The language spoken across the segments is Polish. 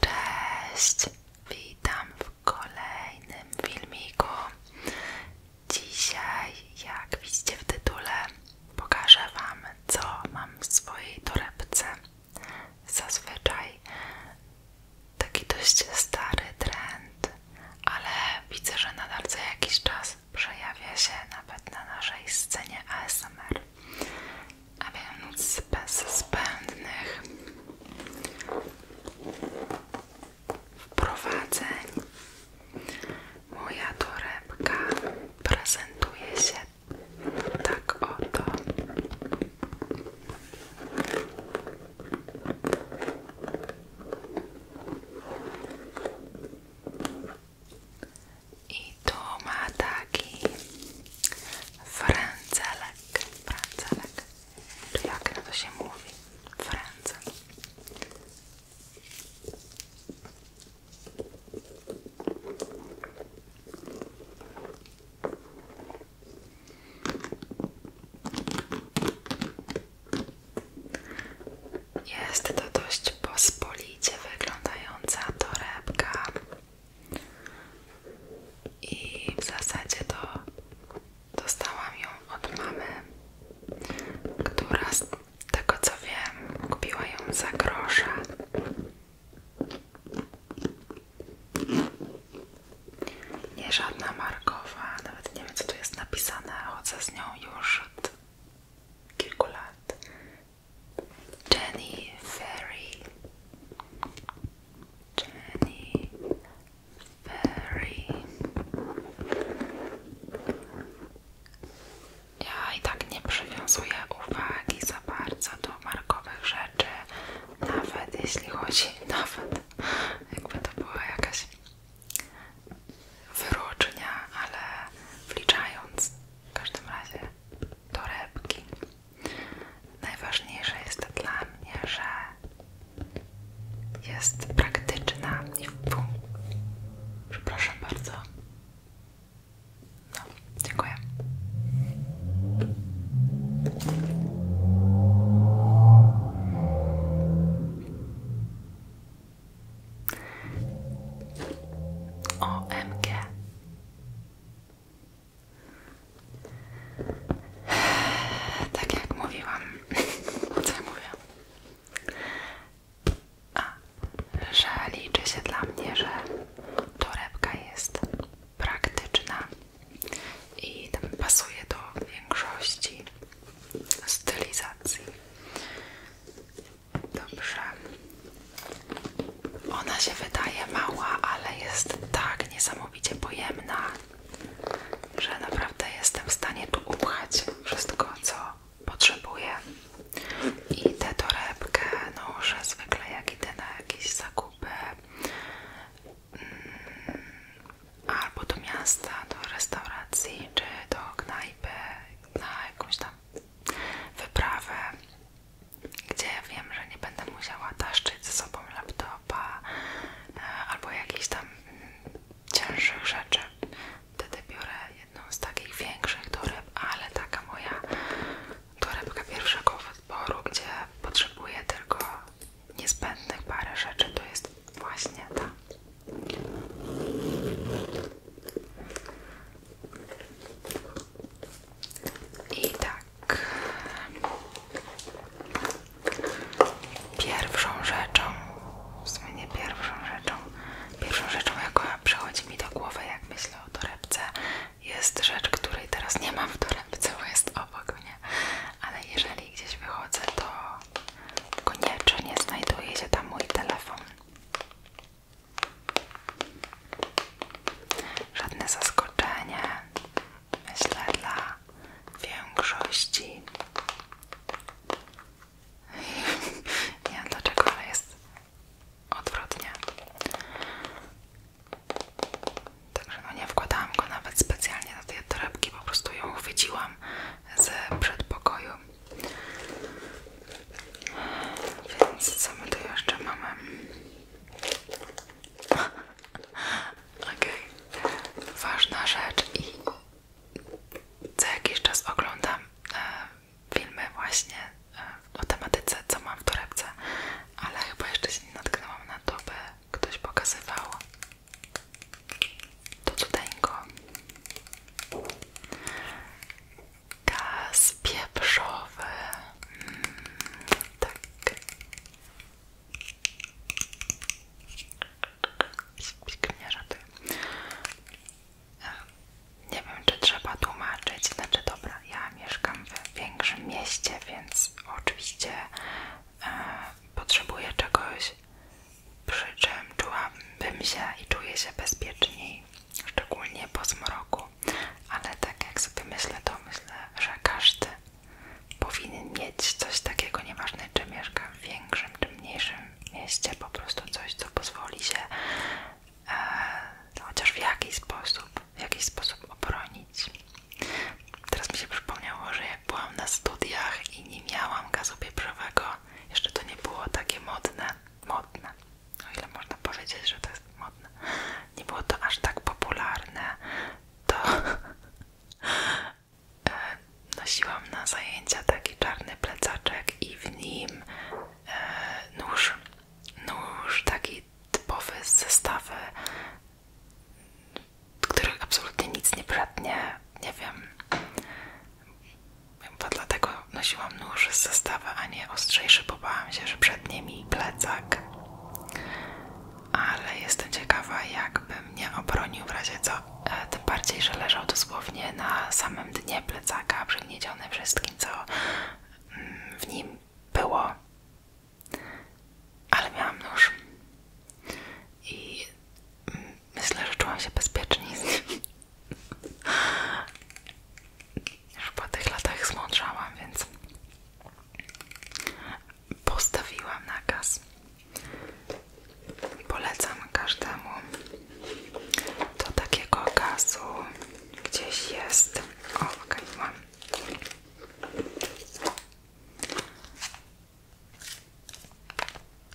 Cześć, witam w kolejnym filmiku. Dzisiaj, jak widzicie w tytule, pokażę Wam, co mam w swojej torebce. Zazwyczaj taki dość stary trend, ale widzę, że nadal co jakiś czas przejawia się nawet na naszej scenie ASMR. A więc bez zbędnych wprowadzeń moja torebka prezentuje się tak oto. I tu ma taki frędzelek, frędzelek, czy jak na to się mówi, frędzel. Jest to dość pospolicie wyglądająca torebka i w zasadzie to dostałam ją od mamy, która z tego co wiem kupiła ją za grosze. Nie żadna markowa, nawet nie wiem co tu jest napisane, chodzę z nią już od kilku lat. Jenny Fairy, Jenny Fairy. Ja i tak nie przywiązuję uwagi za bardzo do markowych rzeczy, nawet jeśli chodzi, nawet jakby to była jakaś wyróżnia, ale wliczając w każdym razie torebki. Najważniejsze jest dla mnie, że jest praktyczna i Przepraszam bardzo. No, dziękuję. OMG. Tak jak mówiłam, co mówię? A, że liczy się dla mnie, że torebka jest praktyczna i pasuje do większości stylizacji. Dobrze. Ona się wydaje mała, ale jest tak niesamowicie pojemna, że naprawdę jestem w stanie tu upchać wszystko, co potrzebuję. I tę torebkę noszę zwykle jak idę na jakieś zakupy mm, albo do miasta, do restauracji czy do knajpy na jakąś tam wyprawę, gdzie wiem, że nie będę musiała taszczyć ze sobą laptopa e, albo jakichś tam mm, cięższych rzeczy. Wtedy biorę jedną z takich większych toreb, ale taka moja torebka pierwszego wyboru, gdzie potrzebuję tylko niezbędnych parę rzeczy, to jest właśnie ta. I tak. Pierwszą rzeczą, w sumie nie pierwszą rzeczą, pierwszą rzeczą, jaką przychodzi mi do głowy, jak myślę o torebce, jest rzecz, której teraz nie mam w torebce, bo jest obok mnie, ale jeżeli gdzieś wychodzę, to koniecznie znajduje się tam mój telefon. Żadne zaskoczenie, myślę, dla większości. Nie wiem dlaczego, ale jest odwrotnie. Także no nie wkładałam go nawet specjalnie na tej torebki, po prostu ją chwyciłam z przedpokoju. Więc co my tu jeszcze mamy? Okej, ważna rzecz i co jakiś czas oglądam e, filmy właśnie e, o tematyce, co mam w torebce, ale chyba jeszcze się nie natknęłam na to, by ktoś pokazywał to cudeńko. Gaz pieprzowy. Mm, tak. Śpik tak. mnie Nie wiem, czy trzeba tłumaczyć. Znaczy, dobra, ja mieszkam w większym mieście, więc oczywiście e, potrzebuję czegoś przy czym czułabym się i czuję się bezpieczniej, szczególnie po zmroku, ale tak jak sobie myślę, to myślę, że każdy powinien mieć coś takiego, nieważne czy mieszka w większym czy mniejszym mieście, po prostu coś, co pozwoli się e, no, chociaż w jakiś sposób, w jakiś sposób obronić. Teraz mi się przypomniało, że jak byłam na studiach i nie miałam gazu pieprzowego, jeszcze to nie było takie modne, modne. O ile można powiedzieć, że to jest modne. Nie było to aż tak popularne, to e, nosiłam na zajęcia taki czarny plecaczek i w nim e, nóż, nóż taki typowy z zestawy, których absolutnie nic nie bratnie nie wiem, chyba dlatego nosiłam nóż z zestawy, a nie ostrzejszy, bo bałam się, że przed nimi plecak. Ale jestem ciekawa, jakby mnie obronił w razie co, e, tym bardziej, że leżał dosłownie na samym dnie plecaka, przygnieciony wszystkim, co mm, w nim było. Ale miałam nóż i mm, myślę, że czułam się bezpiecznie już po tych latach zmądrzałam, więc postawiłam nakaz. Polecam każdemu. Do takiego gazu gdzieś jest. O, okej, okay, mam.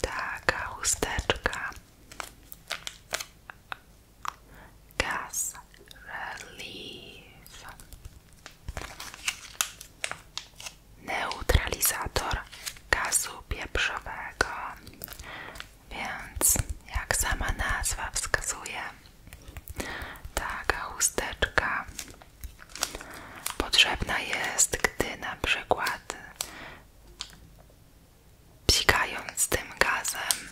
Taka chusteczka Gas relief. Neutralizator gazu pieprzowego. Więc jak sama nazwa wskazuje, taka chusteczka potrzebna jest, gdy na przykład Psikając tym gazem,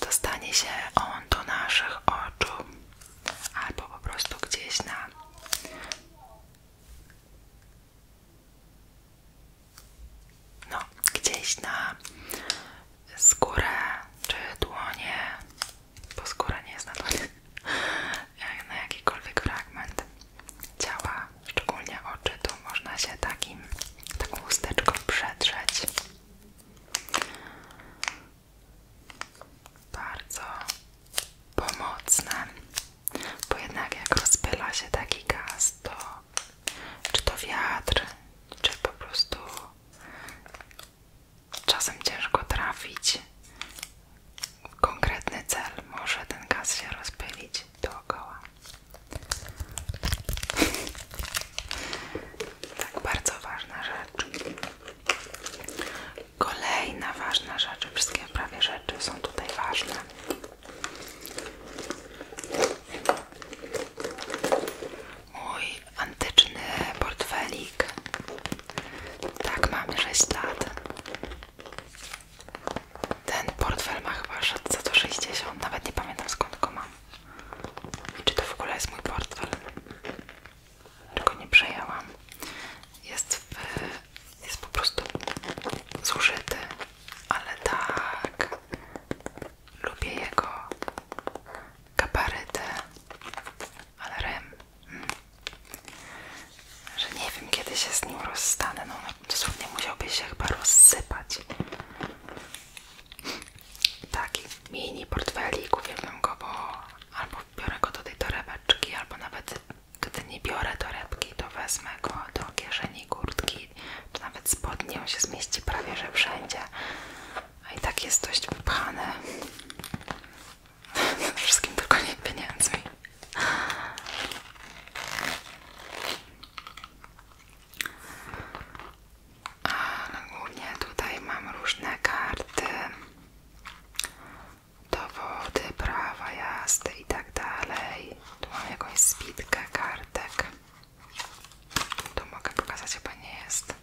dostanie się on do naszych oczu albo po prostu gdzieś na no, gdzieś na skórę czy dłonie, bo skóra nie jest na dłonie, na jakikolwiek fragment ciała, szczególnie oczy, tu można się takim, taką chusteczką przedrzeć. Bardzo pomocne, bo jednak jak rozpyla się taki gaz, to czy to wiatr, czy po prostu czasem ciężko trafić w konkretny cel, może ten gaz się rozpylić robić dookoła. tak, bardzo ważna rzecz. Kolejna ważna rzecz, wszystkie prawie rzeczy są tutaj ważne. Mój antyczny portfelik. Tak, mam 6 lat. Ten portfel ma chyba szedł za to nawet nie pamiętam skąd go mam. Czy to w ogóle jest mój portfel? Tylko nie przejęłam. Jest w, jest po prostu zużyty, ale tak lubię jego kabaryty, ale rym. Hmm. Że nie wiem kiedy się z nim rozstanę, no dosłownie musiałby się chyba rozsypać. Taki mini portfelik, uwielbiam go, bo albo biorę go do tej torebeczki, albo nawet gdy nie biorę torebki, to wezmę go do kieszeni kurtki, czy nawet spodnie, on się zmieści prawie, że wszędzie. A i tak jest dość wypchane. Wszystkim tylko nie pieniędzmi. Ale no głównie tutaj mam różne karty, dowody, prawa jazdy i tak dalej. Tu mam jakąś spitkę kartek. To mogę pokazać, chyba nie jest.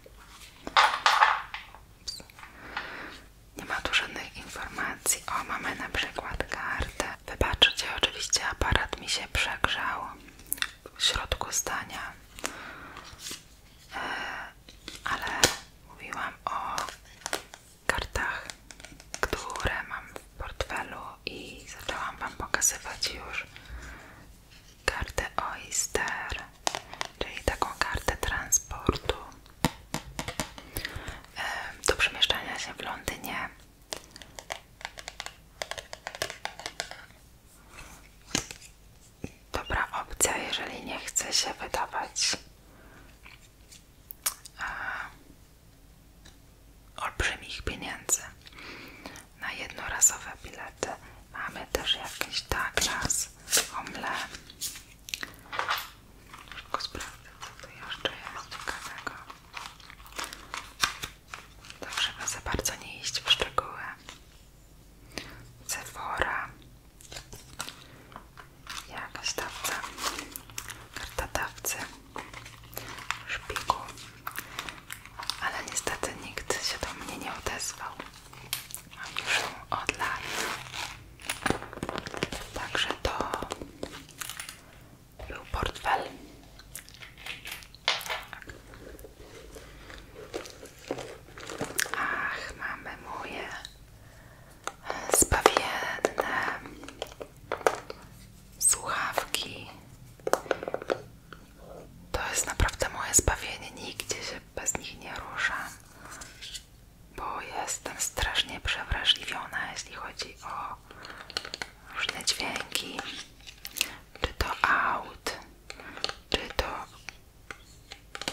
Nie ma tu żadnych informacji. O, mamy na przykład kartę Wybaczcie, oczywiście aparat mi się przegrzał w środku zdania, e, ale mówiłam o kartach, które mam w portfelu i zaczęłam Wam pokazywać już kartę Oyster, czyli taką kartę transportu e, do przemieszczania się w Londynie. Dobra opcja, jeżeli nie chce się wydawać e, olbrzymich pieniędzy na jednorazowe bilety. Mamy też jakiś Douglas, tak, Omle. Szybko sprawdzę, co tu jeszcze jest ciekawego. Tak, żeby za bardzo nie iść w szczegóły. Sephora. Jakaś dawca. Karta dawcy. Szpiku. Ale niestety nikt się do mnie nie odezwał. Mam już od lat. Także to był Ach, mamy moje spawienne słuchawki. To jest naprawdę moje zbawienie. Nigdzie się bez nich nie ruszam, bo jestem strasznie przewrażliwiona, jeśli chodzi o różne dźwięki, czy to aut, czy to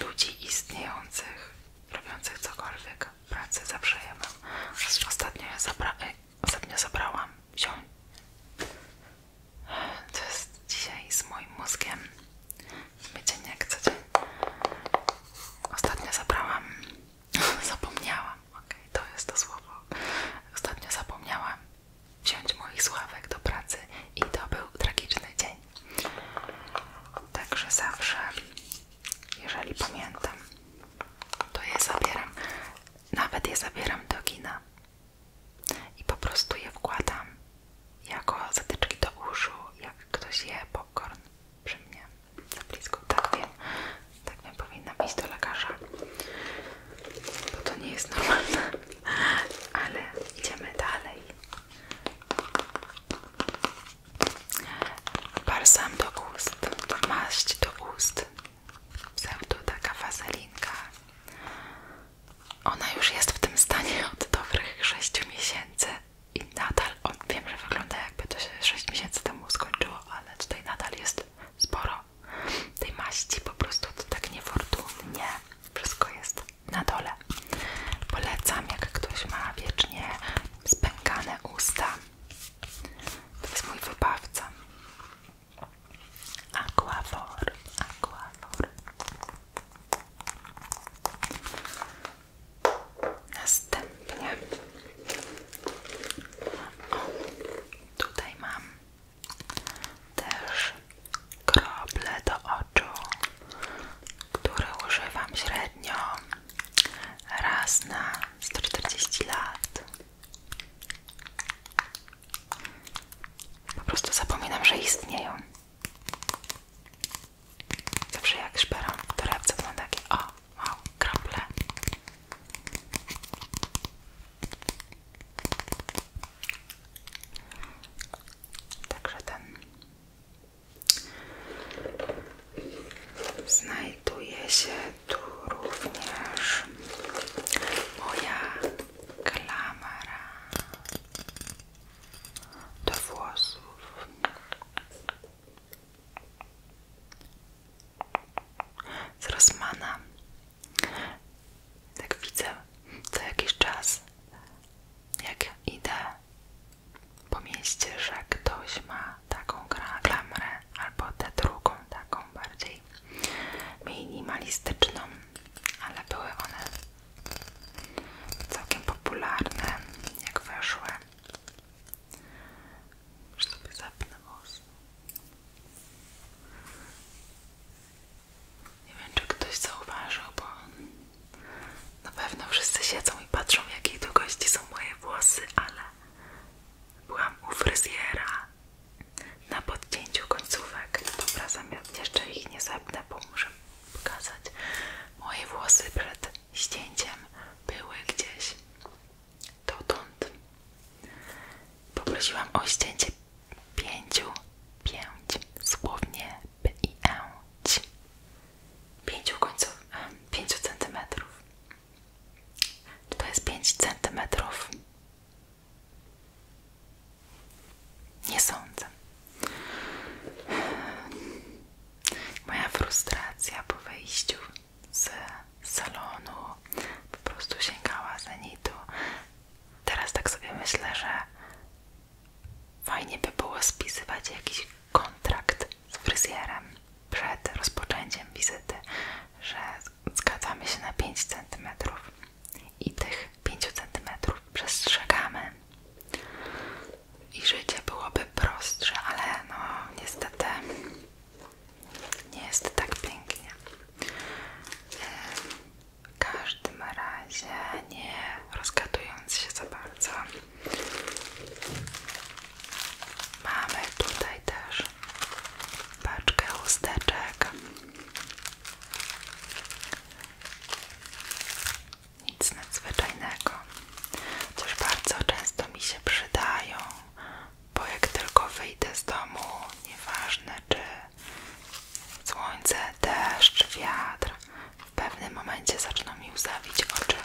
ludzi istniejących, robiących cokolwiek. pracy, zawsze ja mam. Ostatnio, ja zabra e, ostatnio zabrałam To jest dzisiaj z moim mózgiem. Wiecie, nie jak co dzień. Ostatnio zabrałam Zapomniałam, ok, to jest to słowo. Ostatnio zapomniałam wziąć moich sławek do pracy i to był tragiczny dzień. Także zawsze, jeżeli pamiętam, to je zabieram. Nawet je zabieram do gina i po prostu je wkładam jako zatyczki do uszu, jak ktoś je popcorn przy mnie. Za blisko, tak wiem. Tak nie powinnam iść do lekarza. Bo to nie jest normalne. Ale idziemy dalej. Balsam do ust. Maść do ust. Pseudo taka wazelinka. Ona już jest w tym stanie od dobrych 6 miesięcy i nadal, wiem, że wygląda jakby to się 6 miesięcy temu skończyło, ale tutaj nadal jest sporo tej maści, po prostu to tak niefortunnie wszystko jest na dole. Polecam, jak ktoś ma wiecznie spękane usta. To jest mój wybawca. Aquafor, aquafor. Następnie tutaj mam też krople do oczu, które używam średnio raz na 140 lat. Po prostu zapominam, że istnieją. Zawsze jak szperam to torebce mam takie małą kroplę. Także ten znajduje się tu również moja klamara do włosów z Rosmana. Tak widzę co jakiś czas, jak idę po mieście, że ktoś ma taką klamrę albo tę drugą, taką bardziej minimalistyczną, ale były one całkiem popularne, jak weszły. Już sobie zapnę włosy. Nie wiem, czy ktoś zauważył, bo na pewno wszyscy siedzą i patrzą, w jakiej długości są moje włosy, ale byłam u fryzjera na podcięciu końcówek. Dobra, zamiast jeszcze ich nie zepnę, bo muszę pokazać. Moje włosy przed ścięciem były gdzieś dotąd poprosiłam o ścięcie pięciu, pięć, słownie p i e, pięciu końców, pięciu centymetrów. Czy to jest pięć centymetrów? Nie sądzę. Moja frustracja po wejściu z salonu, po prostu sięgała zenitu. Teraz tak sobie myślę, że fajnie by było spisywać jakiś kontrakt z fryzjerem przed rozpoczęciem wizyty, że zgadzamy się na 5 cm i tych 5 cm przestrzegamy i życie byłoby prostsze, ale no niestety nie jest tak pięknie. W każdym razie nie rozgadując się za bardzo. Mamy tutaj też paczkę chusteczek. Nic nadzwyczajnego. Coś bardzo często mi się przydają bo jak tylko wyjdę z domu, nieważne czy słońce, deszcz, wiatr, w pewnym momencie zaczną mi łzawić oczy.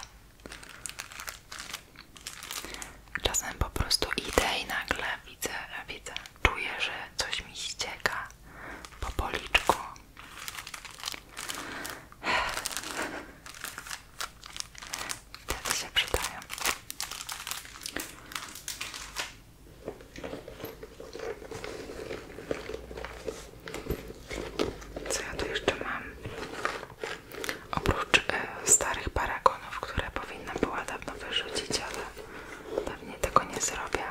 Czasem po prostu idę i nagle widzę, widzę, czuję, że coś mi ścieka po policzku. Wtedy się przydają. Co ja tu jeszcze mam? Oprócz e, starych paragonów, które powinna była dawno wyrzucić, ale pewnie tego nie zrobię.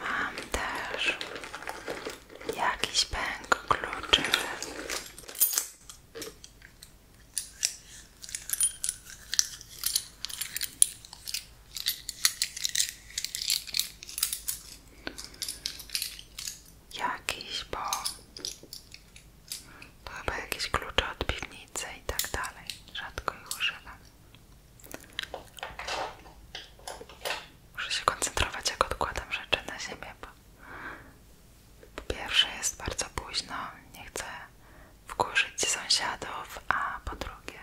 Mam też jakiś pęk kluczy. Jakiś, bo to chyba jakieś klucze od piwnicy i tak dalej. Rzadko ich używam. Muszę się koncentrować, jak odkładam rzeczy na ziemię, po pierwsze jest bardzo późno, nie chcę wkurzyć sąsiadów, a po drugie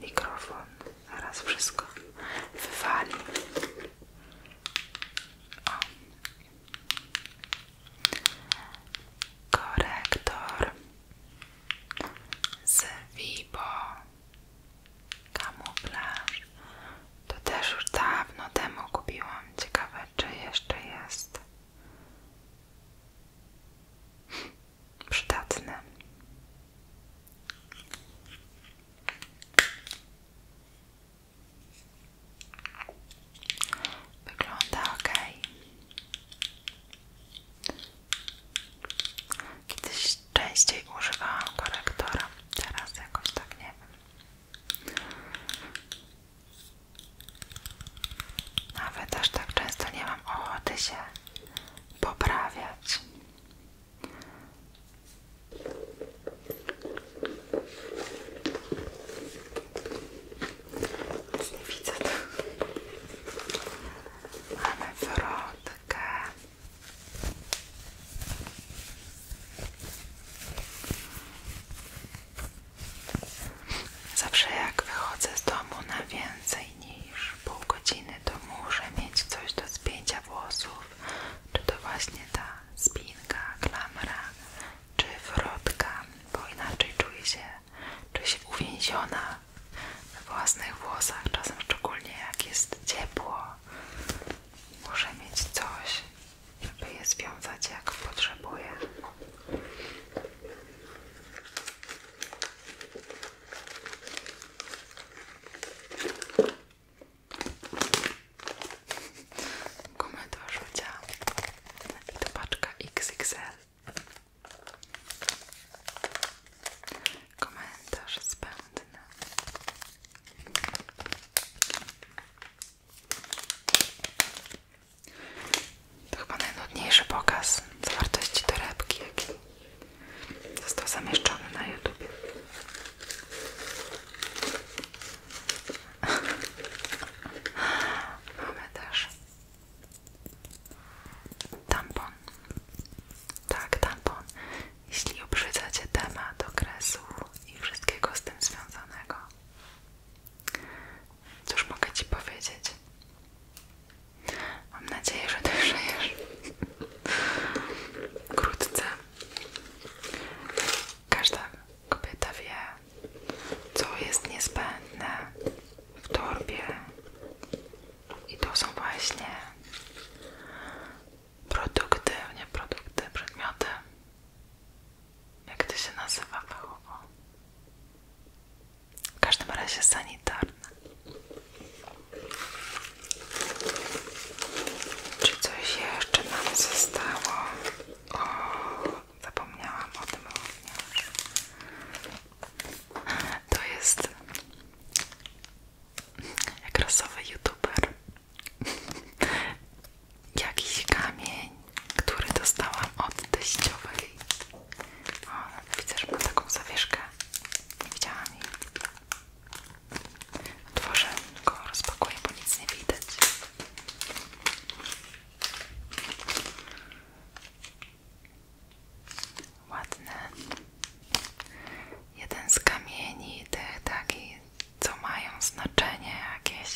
mikrofon zaraz wszystko wywali. Korektor z Vibo, kamuflaż, to też już dawno temu kupiłam. Ciekawe, czy jeszcze jest przydatne Wygląda ok. Kiedyś częściej używałam korektora, teraz jakoś tak nie wiem. Nawet aż tak często nie mam ochoty się poprawiać. nie widzę. Mamy wrotkę. Zawsze jak wychodzę z domu na więcej niż pół godziny, to muszę mieć coś do spięcia włosów. Czy to właśnie ta spinka, klamra, czy wrotka, bo inaczej czuję się, czuję się uwięziona we własnych włosach, czasem szczególnie jak jest ciepło. Muszę mieć coś, żeby je związać jak potrzebuję. Gumę do rzucia i to paczka XXL. Komentarz zbędny. To chyba najnudniejszy pokaz zawartości torebki, jaki został zamieszczony na YouTube. Mamy też tampon. Tak, tampon. Jeśli obrzydza Cię temat okresu i wszystkiego z tym związanego, Cóż mogę Ci powiedzieć? Mam nadzieję, że Ty żyjesz wkrótce. Każda kobieta wie, co jest niezbędne w torbie i to są właśnie produkty, nie produkty, przedmioty jak to się nazywa fachowo? W każdym razie sanitarne. Czy coś jeszcze nam zostało? O, zapomniałam o tym również. To jest jak rasowy youtuber jakiś kamień, który dostałam od teściowej. O, widzę, że ma taką zawieszkę. Nie widziałam jej. Otworzę go, rozpakuję, bo nic nie widać. Ładne. Jeden z kamieni tych takich co mają znaczenie jakieś.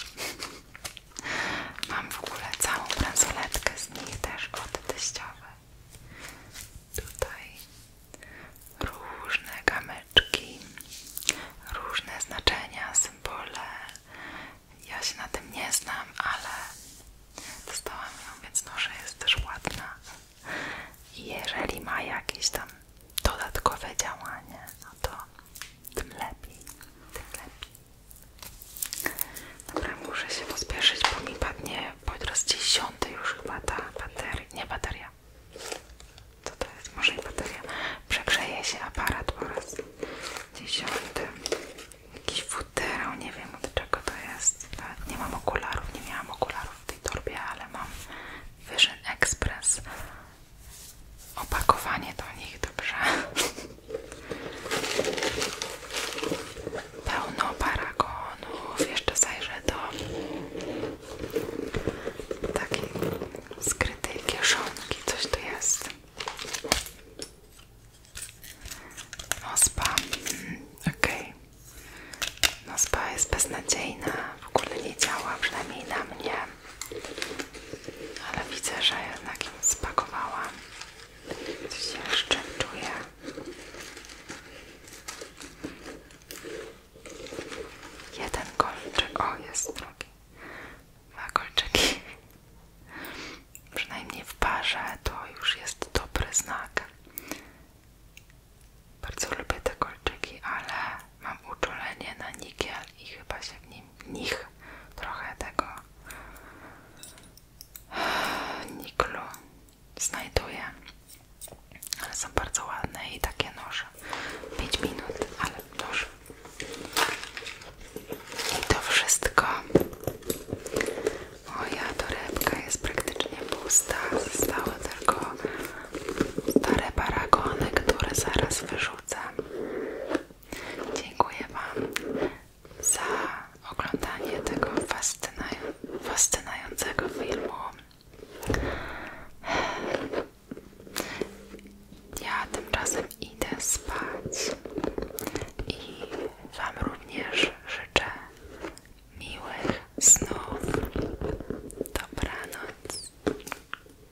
Mam w ogóle całą bransoletkę z nich też od teściowej. Tutaj różne kamyczki, różne znaczenia, symbole. Ja się na tym nie znam, ale dostałam ją, więc może jest też ładna. i Jeżeli ma jakieś tam dodatkowe działanie, no to tym lepiej, tym lepiej. Dobra, muszę się pospieszyć, bo mi padnie podraz dziesiąty już chyba ta bateria, nie bateria. Co to jest? Może i bateria. Przegrzeje się aparat po raz dziesiąty. Jakiś futerał, nie wiem od czego to jest. nie mam okularów, nie miałam okularów w tej torbie, ale mam Vision Express opakowanie do nich, dobrze? Pełno paragonów. Jeszcze zajrzę do takiej skrytej kieszonki. Coś tu jest. Nospa. Mm, okej. Okay. Nospa jest beznadziejna. W ogóle nie działa, przynajmniej na mnie ale widzę, że jednak im spakowałam. Coś jeszcze czuję. Jeden kolczyk, o jest drugi. Dwa kolczyki. Przynajmniej w parze to już jest dobry znak. Bardzo lubię te kolczyki, ale Mam uczulenie na nikiel i chyba się w nim nich trochę tego niklu znajduję, Ale są bardzo ładne i takie noże. 5 minut, ale noż. I to wszystko. Moja torebka jest praktycznie pusta. Zostały tylko stare paragony, które zaraz wyrzucę. Dziękuję Wam za oglądanie tego fascynującego filmu. Ja tymczasem idę spać i Wam również życzę miłych snów. Dobranoc.